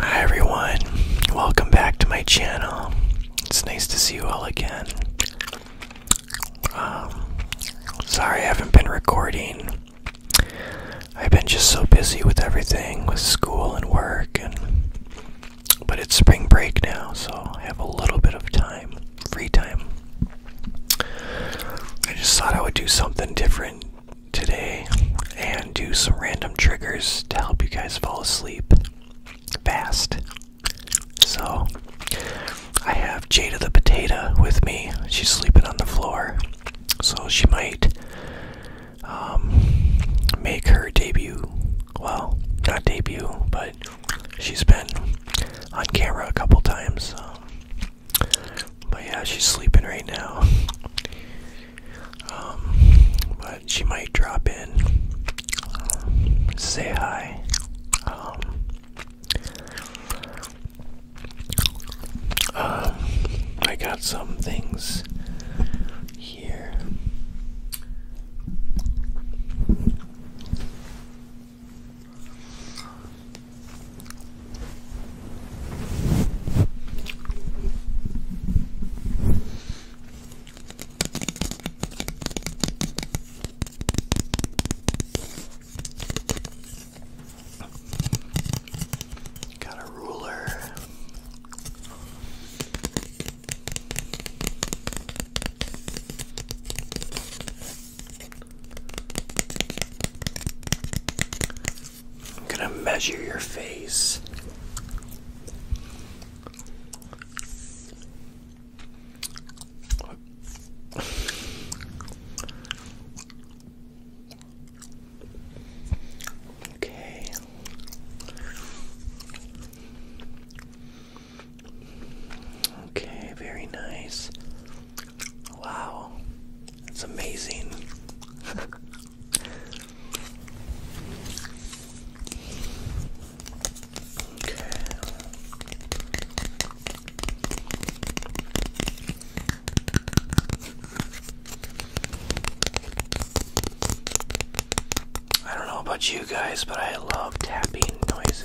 Hi everyone, welcome back to my channel. It's nice to see you all again. Um, sorry I haven't been recording. I've been just so busy with everything, with school and work, and but it's spring break now, so I have a little bit of time, free time. I just thought I would do something different today and do some random triggers to help you guys fall asleep fast. So, I have Jada the potato with me. She's sleeping on the floor, so she might um, make her debut. Well, not debut, but she's been on camera a couple times. But yeah, she's sleeping right now. Um, but she might drop in, say hi. um, um I got some things here. Got a ruler. I'm gonna measure your face. Okay. Okay, very nice. Wow, it's amazing. okay. I don't know about you guys, but I love tapping noises.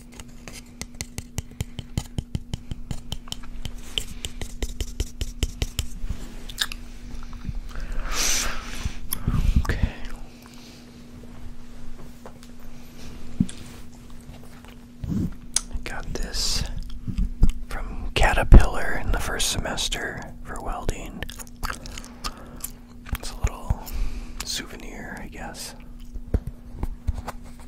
Okay. I got this from Caterpillar in the first semester for welding. It's a little souvenir, I guess.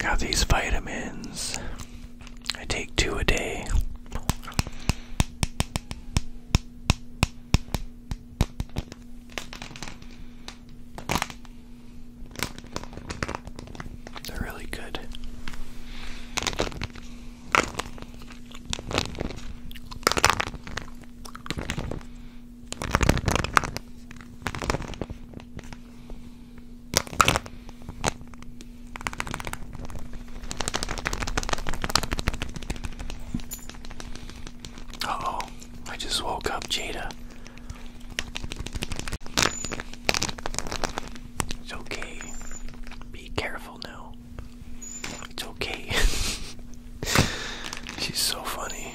Got these vitamins. I take two a day. They're really good. Uh oh, I just woke up Jada. It's okay. Be careful now. It's okay. She's so funny.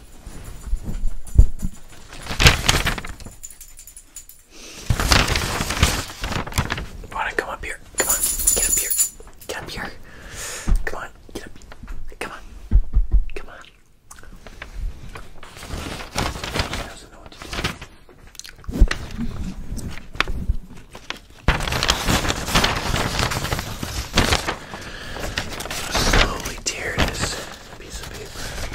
Wanna come up here? Come on, get up here. Get up here. Come on, get up. Come on. Come on. She doesn't know what to do slowly tear this piece of paper.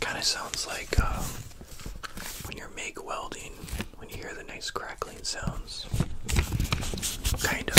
Kind of sounds like uh, when you're MIG welding, when you hear the nice crackling crackling sounds. Kind of.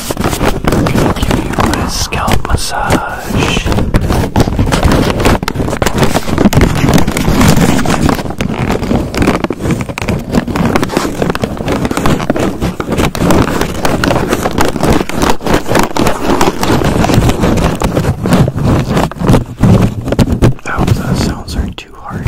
give you a scalp massage. I oh, sounds aren't too harsh.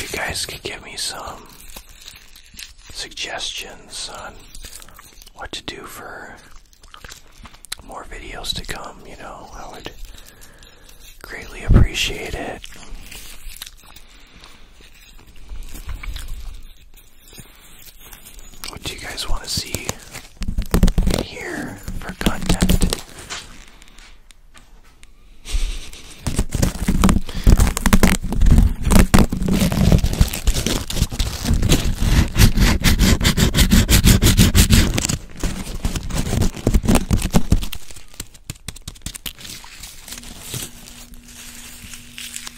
you guys could give me some suggestions on what to do for more videos to come, you know, I would greatly appreciate it. What do you guys want to see here for content?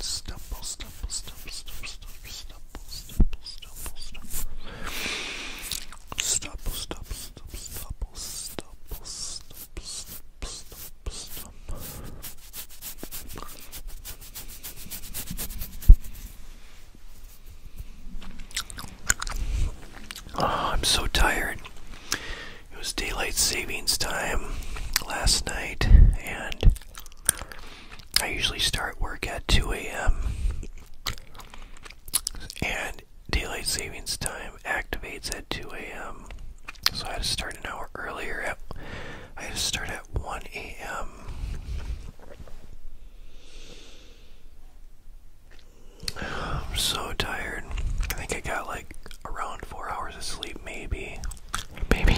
Stumble, stumble, stumble, stumble, stumble, stumble, stumble, stumble, stumble, stumble, stumble, stumble, stumble, stumble, Oh, I'm so tired. It was daylight savings time last night, and I usually start work at 2 a.m. And daylight savings time activates at 2 a.m. So I had to start an hour earlier. At, I had to start at 1 a.m. I'm so tired. I think I got like around four hours of sleep, maybe, maybe,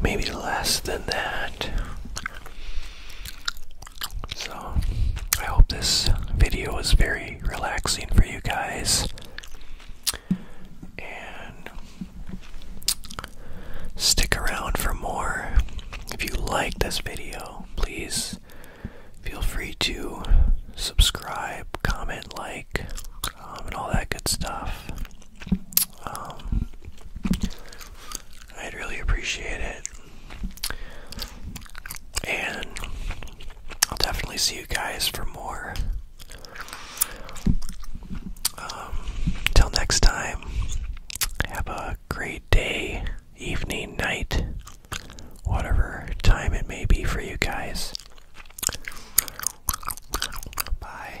maybe less than that. So, I hope this video was very relaxing for you guys. And stick around for more. If you like this video, please feel free to subscribe, comment, like, um, and all that good stuff. Um, I'd really appreciate it. And I'll definitely see you guys for more. Um, till next time, have a great day, evening, night, whatever time it may be for you guys. Bye.